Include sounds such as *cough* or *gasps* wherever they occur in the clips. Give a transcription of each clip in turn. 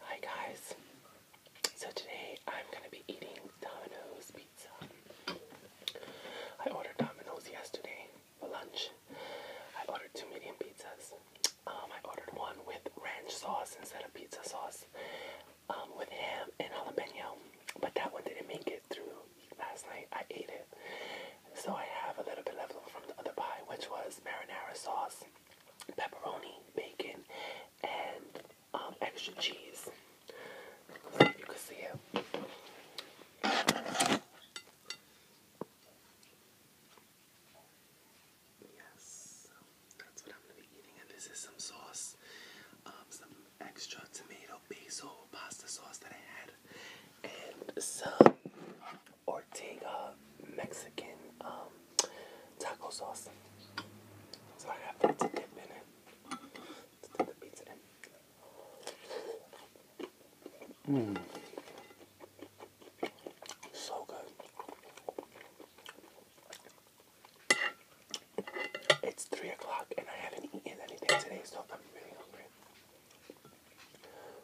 Hi guys. So today I'm gonna be eating Domino's pizza. I ordered Domino's yesterday for lunch. I ordered two medium pizzas. Um, I ordered one with ranch sauce instead of pizza sauce, um, with ham and jalapeno. But that one didn't make it through last night. I ate it, so I have a little bit left over from the other pie, which was marinara sauce pepperoni, bacon, and um, extra cheese. if you can see it. Yes, that's what I'm gonna be eating, and this is some sauce, um, some extra tomato basil pasta sauce that I had, and some Ortega Mexican um, taco sauce. So I have that to dip in it. Mm. So good. It's 3 o'clock and I haven't eaten anything today, so I'm really hungry.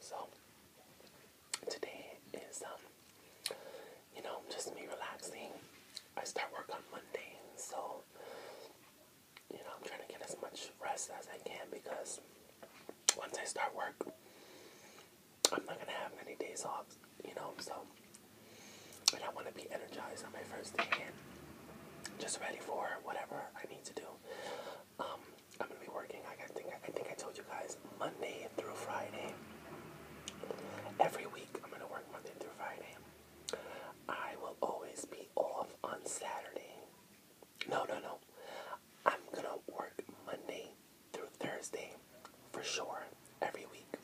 so today is um, you know, just me relaxing. I start work on Monday, so you know, I'm trying to get as much rest as I can because once I start work, I'm not gonna have many days off, you know, so and I wanna be energized on my first day and just ready for whatever I need to do. Um, I'm gonna be working. I think I think I told you guys Monday through Friday. Every week, I'm going to work Monday through Friday. I will always be off on Saturday. No, no, no. I'm going to work Monday through Thursday for sure every week.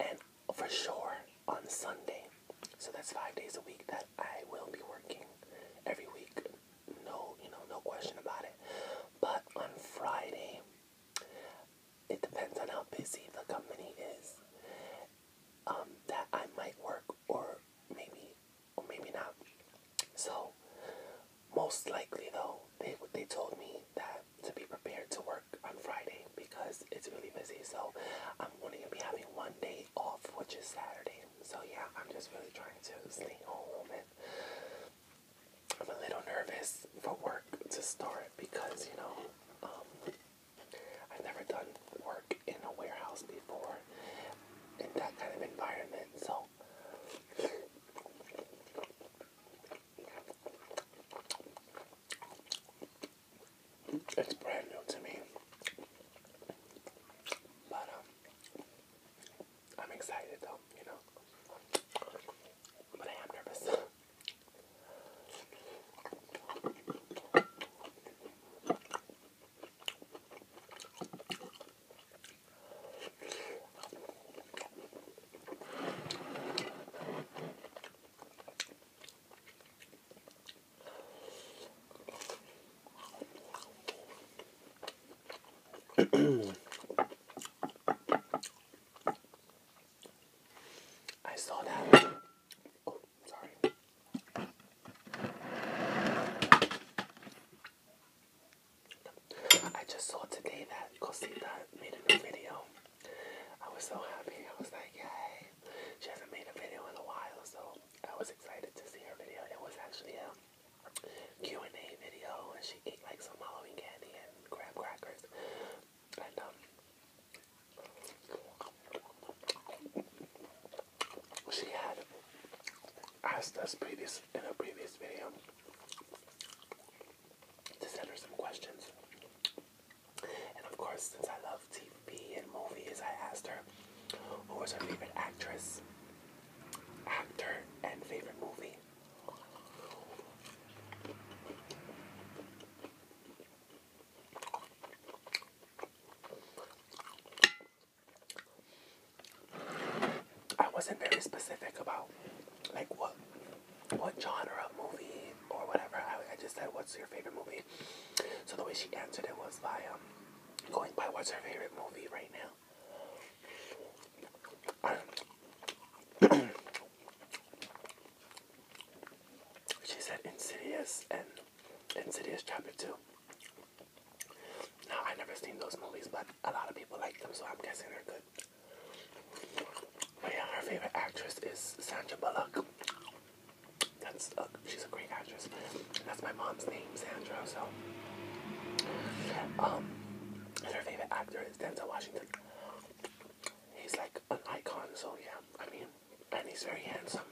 And for sure on Sunday. So that's five days a week that I will be working every week. No, you know, no question about it. But on Friday, it depends on how busy the company is um, that I might work or maybe or maybe not. So most likely though, they they told me that to be prepared to work on Friday because it's really busy. So I'm only gonna be having one day off, which is Saturday. So yeah, I'm just really trying to stay home and I'm a little nervous for work to start because, you know, um, I've never done work in a warehouse before in that kind of environment. So, it's brand new to me. But, um, I'm excited though, you know. But I am nervous. *clears throat* I saw that. Oh, sorry. I just saw today that Cosita made a new video. I was so happy. I was like, yay. She hasn't made a video in a while, so I was excited to see her video. It was actually a um, Q&A video and she ate like some Halloween candy and graham crackers. And um she had asked us previous in a previous video to send her some questions. And of course, since I love TV and movies, I asked her who was her favorite actress, actor, and favorite movie. I wasn't very specific about like what what genre of movie or whatever. I, I just said what's your favorite movie. So the way she answered it was by um, going by what's her favorite movie right now she said Insidious and Insidious Chapter 2. Now, i never seen those movies, but a lot of people like them, so I'm guessing they're good. But yeah, her favorite actress is Sandra Bullock. That's she's a great actress. That's my mom's name, Sandra. Um, and her favorite actor is Denzel Washington. He's like an icon, so yeah, I mean, and he's very handsome.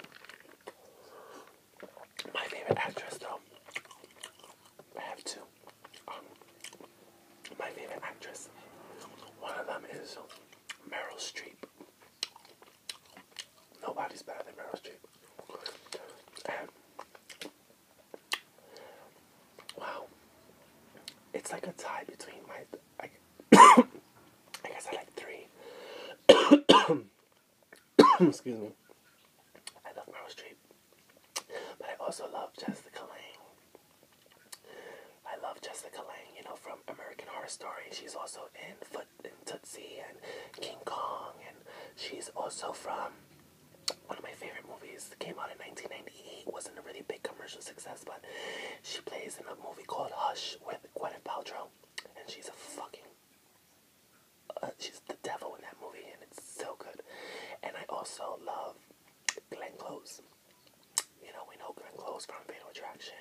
My favorite actress, though, I have two. Um, my favorite actress, one of them is Meryl Streep. Nobody's better than Meryl Streep. Wow. It's like a tie between my. I, *coughs* I guess I like three. *coughs* Excuse me. I love Meryl Street, But I also love Jessica Lange. I love Jessica Lange, you know, from American Horror Story. She's also in Foot and Tootsie and King Kong. And she's also from one of my favorite movies came out in 1998. wasn't a really big commercial success, but she plays in a movie called Hush with Gwyneth Paltrow, and she's a fucking uh, she's the devil in that movie, and it's so good. And I also love Glenn Close. You know, we know Glenn Close from Fatal Attraction,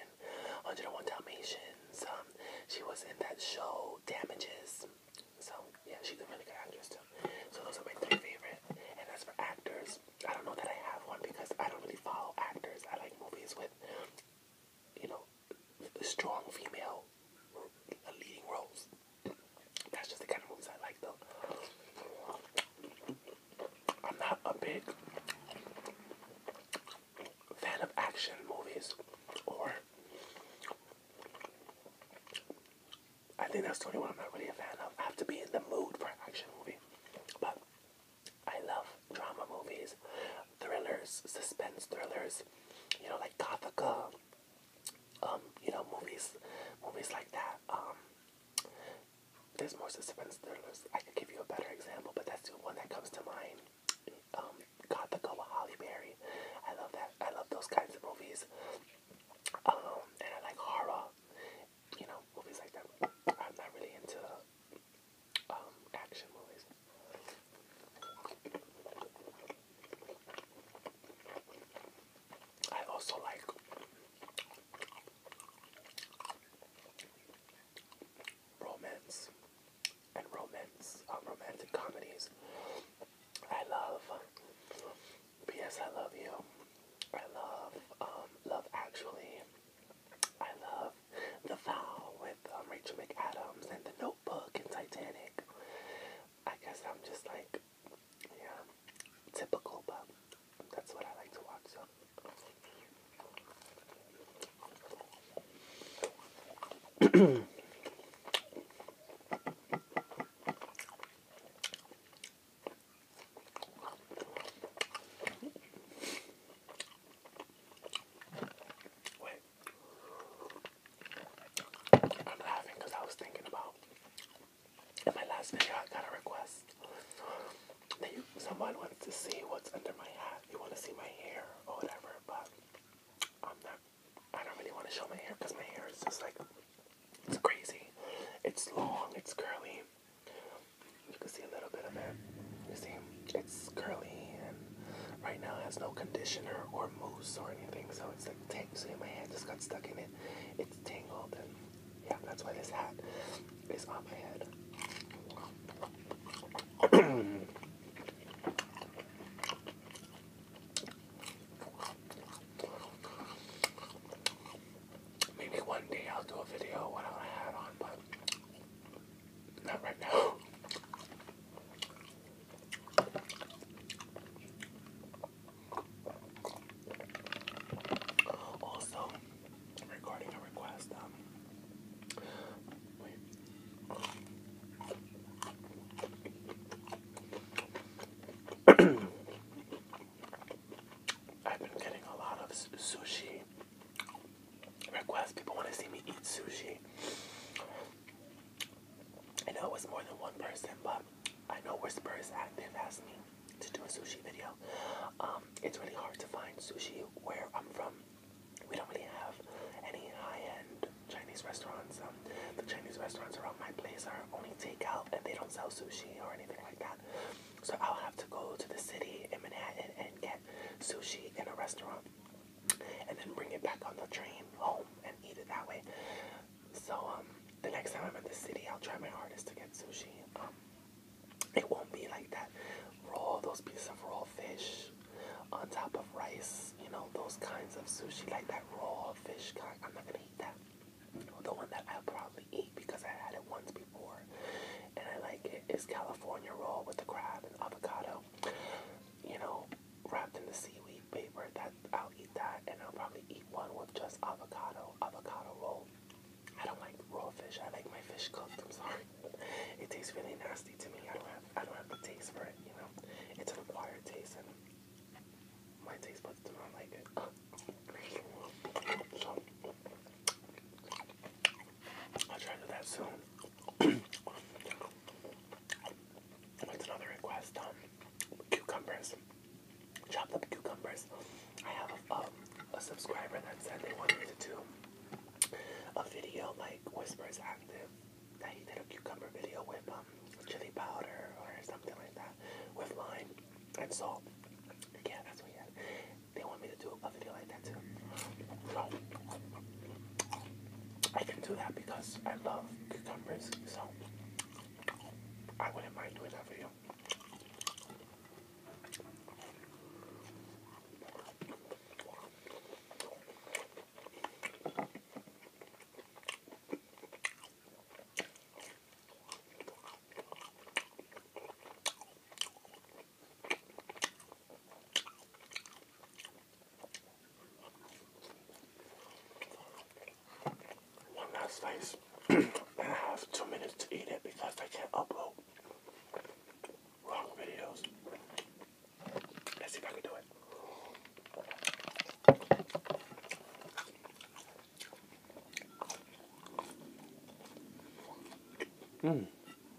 101 Dalmatians. Um, she was in that show Damages. So yeah, she's a really good actress too. So those are my three favorite. And as for actors, I don't know that I have one because I don't really follow actors. I like movies with, you know, strong female leading roles. That's just the kind of movies I like though. I'm not a big fan of action movies or I think that's the only one I'm not really a fan of. I have to be in the mood for an action movie. But I love drama movies, thrillers, suspense thrillers, you know, like Gothica, um, you know, movies, movies like that. Um, there's more suspense thrillers. I could give you a better example, but that's the one that comes to mind um, Gothica with Holly Berry. I love that. I love those kinds of movies. Um, and I like horror. You know, movies like that. I'm not really into um, action movies. I also like romance and romance, uh, romantic comedies. I love P.S. I Love You. I love um, Love Actually. I love The Vow with um, Rachel McAdams and The Notebook and Titanic. I guess I'm just like, yeah, typical, but that's what I like to watch. So. *clears throat* Wait. I'm laughing I was thinking about in my last video I got a request that someone wants to see what's under my hat. You want to see my hair or whatever, but I'm not. I don't really want to show my hair because my hair is just like it's crazy. It's long. It's curly. You can see a little bit of it. You see, it's curly and right now it has no conditioner or mousse or anything, so it's like tangled. See, my hand just got stuck in it. It's tangled, and yeah, that's why this hat is on my head. *clears throat* Maybe one day I'll do a video without a hat on, but not right now. *gasps* Also, regarding a request, um, *clears throat* I've been getting a lot of sushi requests. People want to see me eat sushi. I know it was more than one person, but I know Whisperers Active asked me to do a sushi video. Um, it's really hard to find sushi where I'm from we don't really have any high-end Chinese restaurants. Um, the Chinese restaurants around my place are only takeout, and they don't sell sushi or anything like that. So I'll have to go to the city in Manhattan and get sushi in a restaurant, and then bring it back on the train home and eat it that way. So um, the next time I'm in the city, I'll try my hardest to get sushi. Um, it won't be like that raw, those pieces of raw fish on top of rice, you know, those kinds of sushi, like that raw fish kind. I'm not gonna eat that. The one that I'll probably eat because I had it once before and I like it is California roll with the crab and avocado, you know, wrapped in the seaweed paper. That I'll eat that and I'll probably eat one with just avocado, avocado roll. I don't like raw fish. I like my fish cooked. I'm sorry it tastes really nasty to me. I don't have I don't have the taste for it, you know. It's an acquired taste and my taste buds do not like it. So *clears throat* I'll try to do that soon. *clears throat* What's another request? Um, cucumbers. Chopped up cucumbers. I have a, um, a subscriber that said they wanted to do a video like Whispers Active that he did a cucumber video with um, chili powder or something like that with lime and salt. Yeah, that's what he had. They want me to do a video like that too. So, I can do that because I love cucumbers, so I wouldn't mind doing that video. One last slice. *clears throat* I have two minutes to eat it because they can't upload wrong videos. Let's see if I can do it. Mm.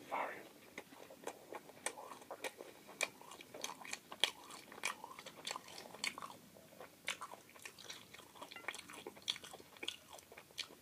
Sorry.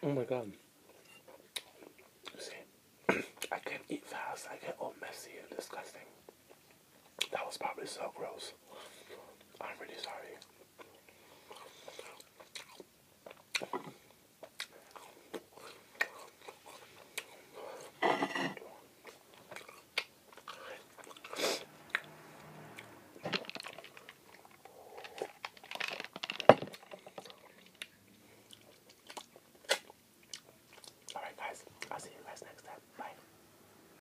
Oh my god. See, *clears throat* I can eat fast, I get all messy and disgusting. That was probably so gross. I'm really sorry. Alright guys, I'll see you guys next time. Bye.